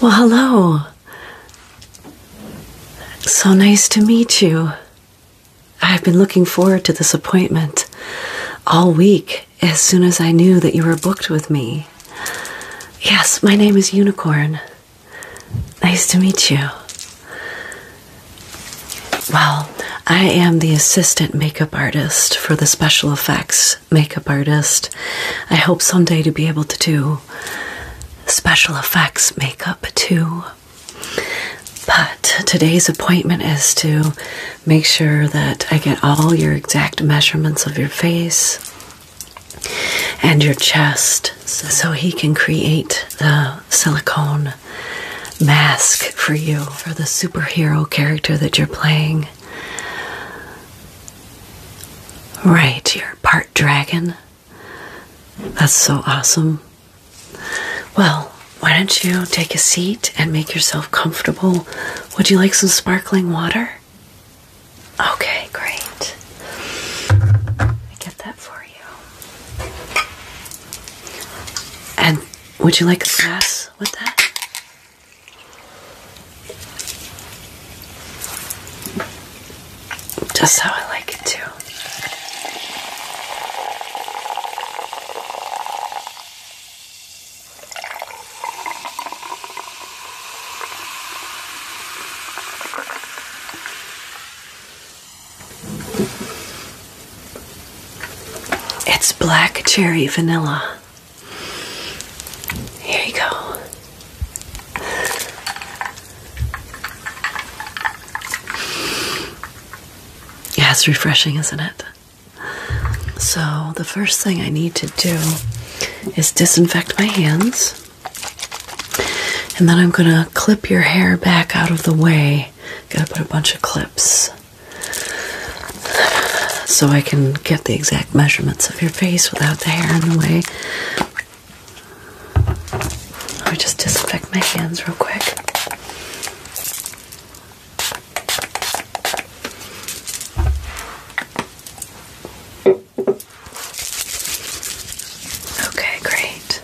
Well, hello. So nice to meet you. I've been looking forward to this appointment all week as soon as I knew that you were booked with me. Yes, my name is Unicorn. Nice to meet you. Well, I am the assistant makeup artist for the special effects makeup artist. I hope someday to be able to do special effects makeup too. But today's appointment is to make sure that I get all your exact measurements of your face and your chest so he can create the silicone mask for you, for the superhero character that you're playing. Right, you're part dragon. That's so awesome. Well, why don't you take a seat and make yourself comfortable? Would you like some sparkling water? Okay, great. I get that for and would you like a glass with that? Just how I like it too. It's black cherry vanilla. Here you go. Yeah, it's refreshing, isn't it? So, the first thing I need to do is disinfect my hands. And then I'm going to clip your hair back out of the way Gotta put a bunch of clips so I can get the exact measurements of your face without the hair in the way. I'll just disinfect my hands real quick. Okay, great.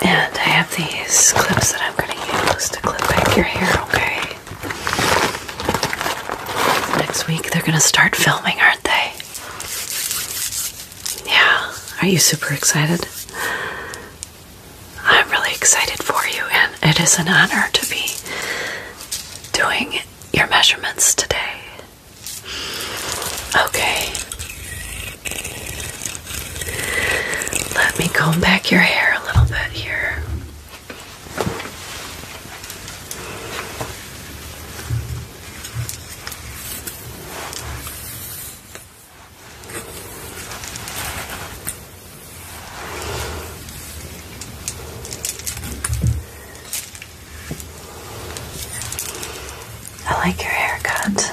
And I have these clips that I'm going to use to clip back your hair, okay? Next week they're going to start filming, aren't they? Yeah. Are you super excited? I'm really excited for you, and it is an honor to be doing your measurements today. Okay. Let me comb back your hair a little bit here. I like your haircut.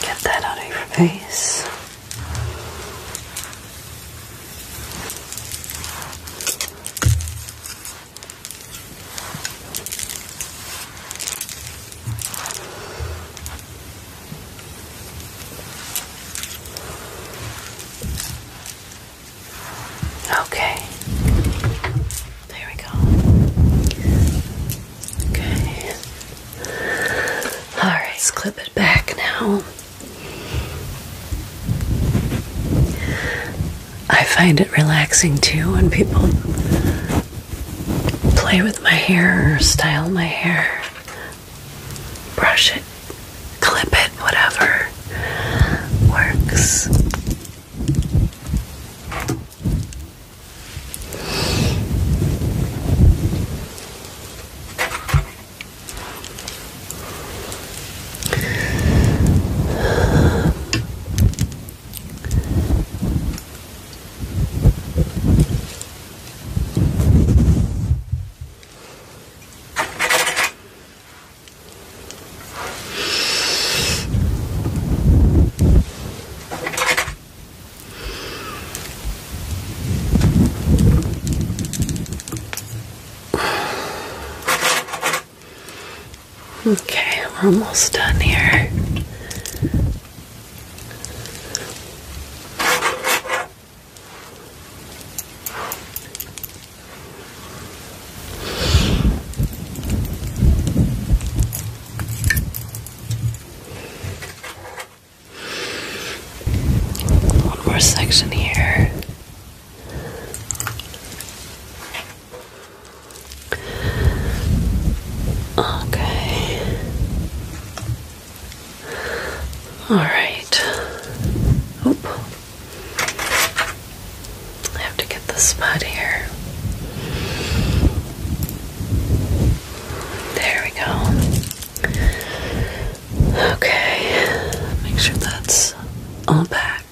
Get that out of your face. Okay. There we go. Okay. All right, let's clip it back now. I find it relaxing too when people play with my hair or style my hair, brush it clip it, whatever works. Okay, we're almost done here. One more section here. Okay. All right. Oop. I have to get the spot here. There we go. Okay, make sure that's all back.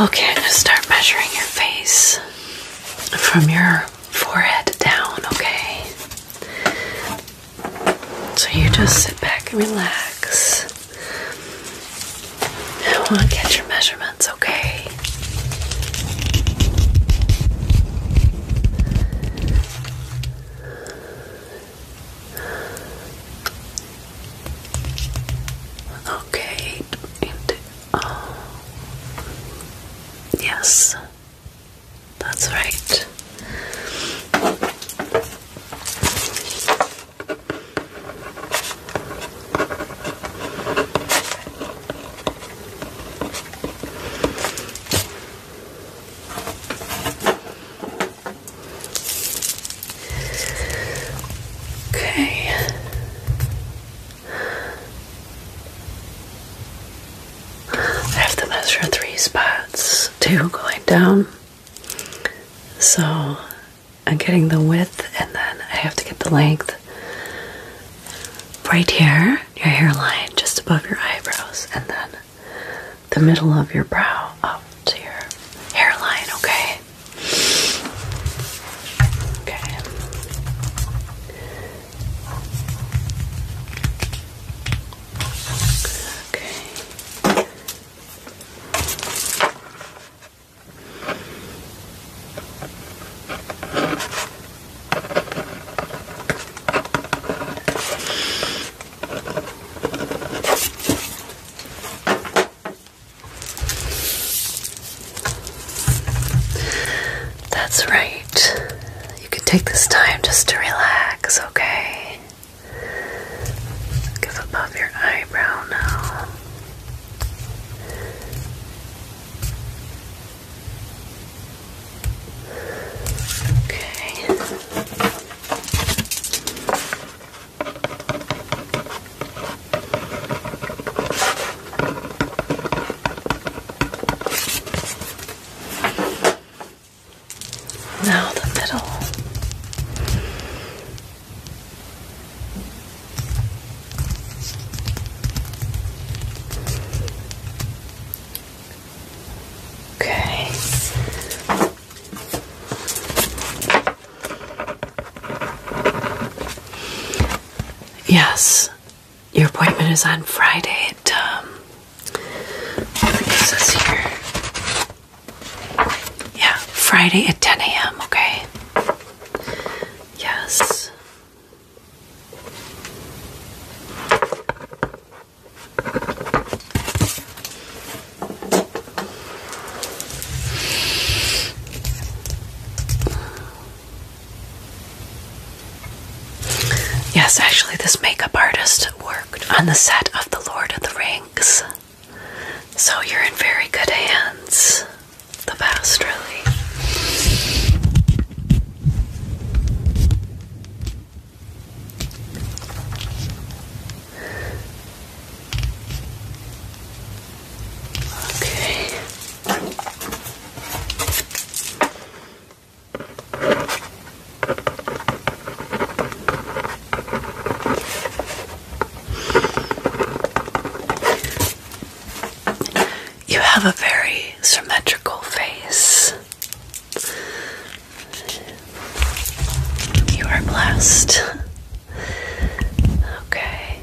Okay, I'm gonna start measuring your face from your forehead down, okay? So you just sit back and relax. I want to get your measurements, okay? Okay, oh, yes, that's right. Okay. I have to measure three spots, two going down so I'm getting the width and then I have to get the length right here, your hairline, just above your eyebrows, and then the middle of your brow up to your hairline, okay? Okay. Okay. That's right. You can take this time just to relax, okay? Give above your eyebrow now. Okay. Now the middle. Okay. Yes, your appointment is on Friday at um, I think here yeah, Friday at 10 a.m., okay? Yes. Yes, actually, this makeup artist worked on the set of The Lord of the Rings. So you're in very good hands. The best, really. Okay. You have a very symmetrical face. You are blessed. Okay.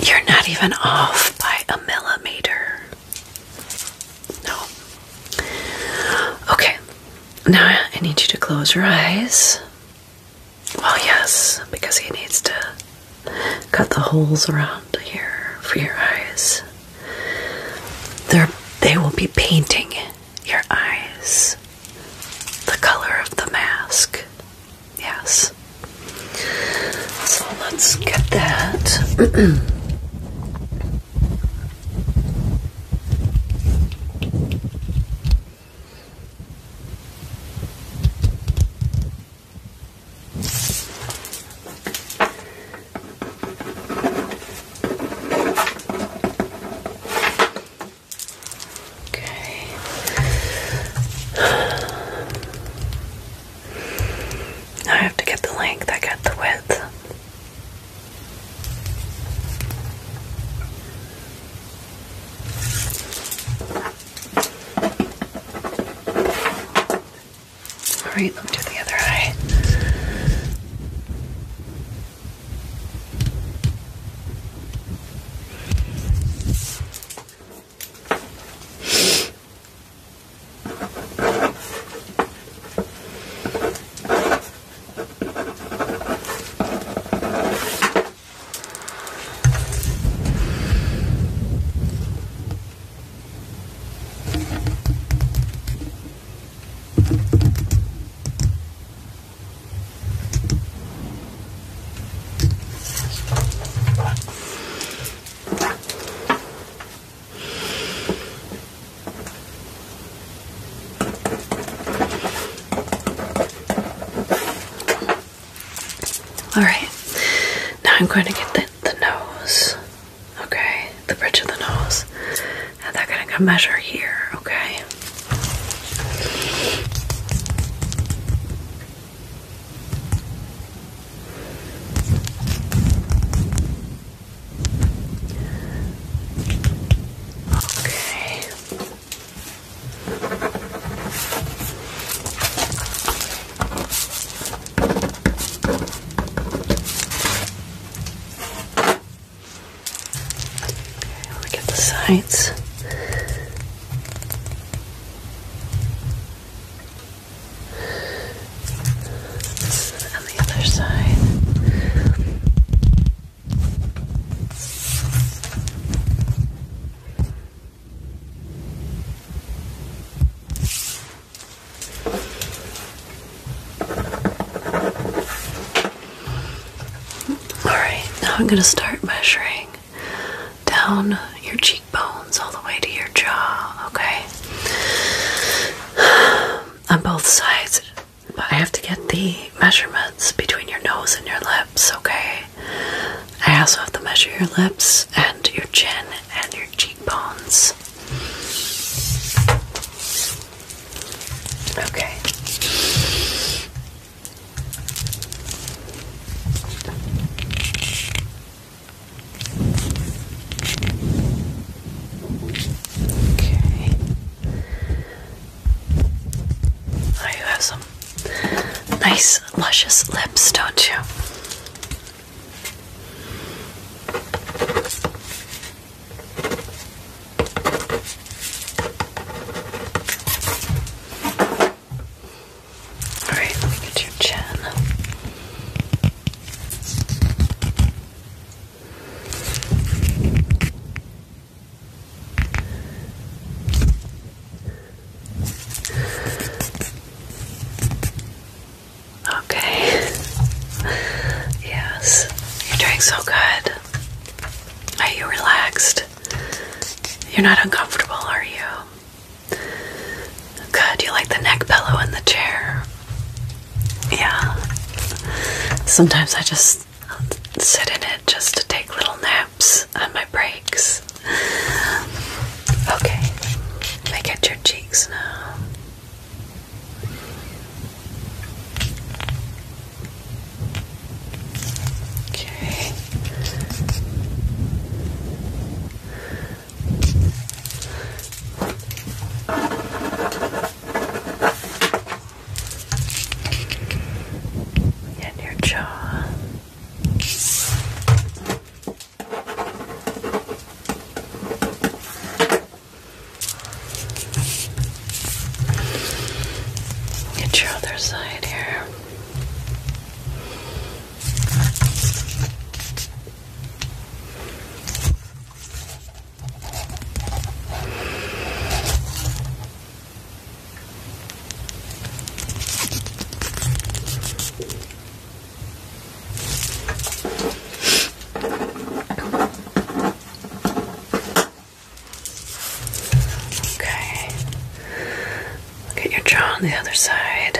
You're not even off by a millimeter. No. Okay. Now I need you to close your eyes. Well, yes, because he needs to cut the holes around here for your eyes. they they will be painting your eyes the color of the mask. Yes. So let's get that. Okay. I have to get the length, I got the width. All right, Look me the other eye. All right, now I'm going to get the, the nose okay? The bridge of the nose. And they're gonna come measure here, okay? Okay. Okay, look at the sides. And the other side. Okay. Alright, now I'm going to start measuring down your cheekbones all the way to your jaw, okay? On both sides. But I have to get the measurements between your nose and your lips, okay? I also have to measure your lips and your chin and your cheekbones. Okay. Okay. Oh, you have some nice, luscious lips, don't you? All right, let me get your chin. Okay. yes. You're doing so good. Are you relaxed? You're not uncomfortable, are you? Good. You like the neck pillow in the chair? Yeah. Sometimes I just sit in it just to take little naps at my breaks. Okay. Make it your cheeks Okay. And your jaw. Get your other side here. Okay. Look at your jaw on the other side.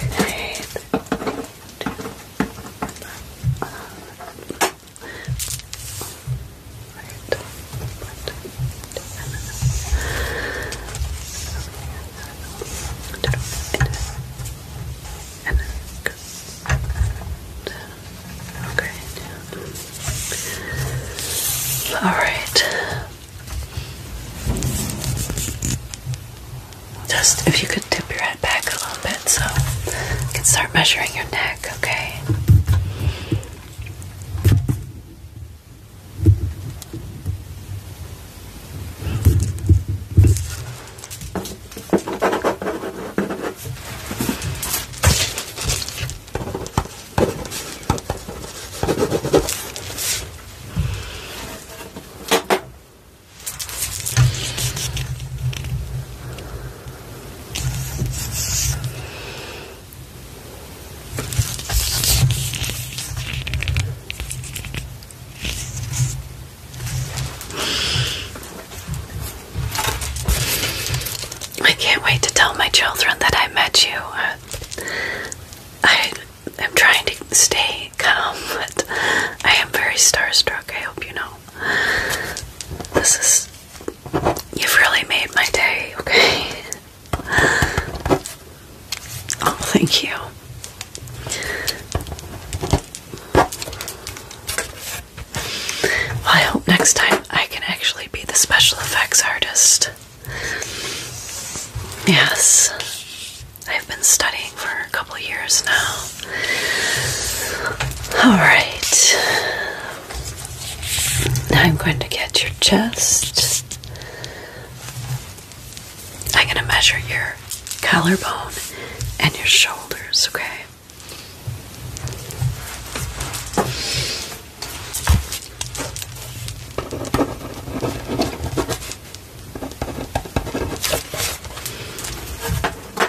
Okay. All right. Just if you could tip your head back a little bit. So I can start measuring your neck, Okay. I can't wait to tell my children that I met you. I am trying to stay calm, but I am very starstruck. I hope you know. This is You've really made my day, okay? Oh, thank you. Well, I hope next time I can actually be the special effects artist. Yes, I've been studying for a couple years now. Alright. Now I'm going to get your chest. I'm going to measure your collarbone and your shoulders, okay?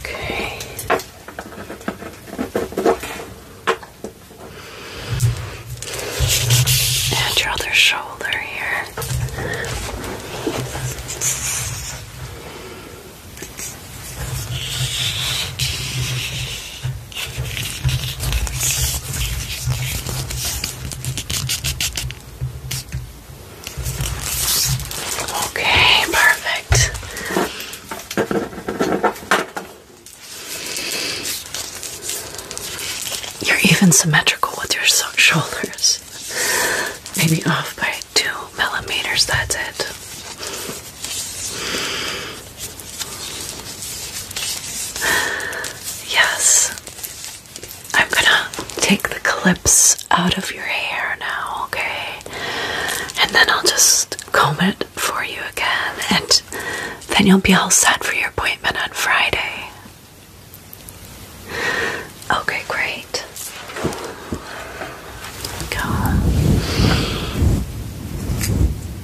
Okay. And your other shoulder here. Okay, perfect. You're even symmetrical with your shoulders. Maybe off by two millimeters, that's it. Yes. I'm gonna take the clips out of your hair now, okay? And then I'll just comb it for you again, and then you'll be all set for your appointment on Friday. Okay, great. Go.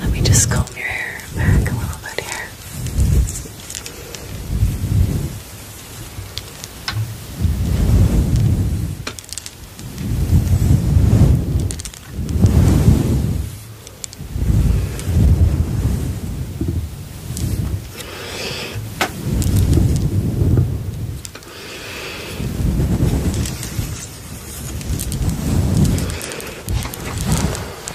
Let me just comb your hair back a little bit here.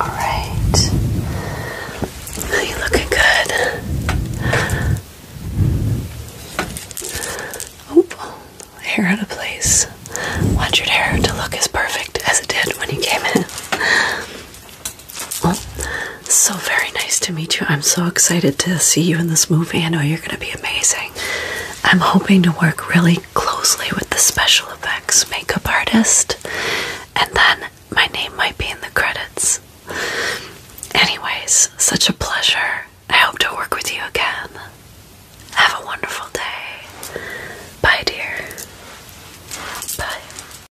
Alright. you looking good. Oop, hair out of place. Want your hair to look as perfect as it did when you came in. Well, so very nice to meet you. I'm so excited to see you in this movie. I know you're going to be amazing. I'm hoping to work really closely with the special effects makeup artist, and then my name might be in the credits. Anyways, such a pleasure. I hope to work with you again. Have a wonderful day. Bye, dear. Bye.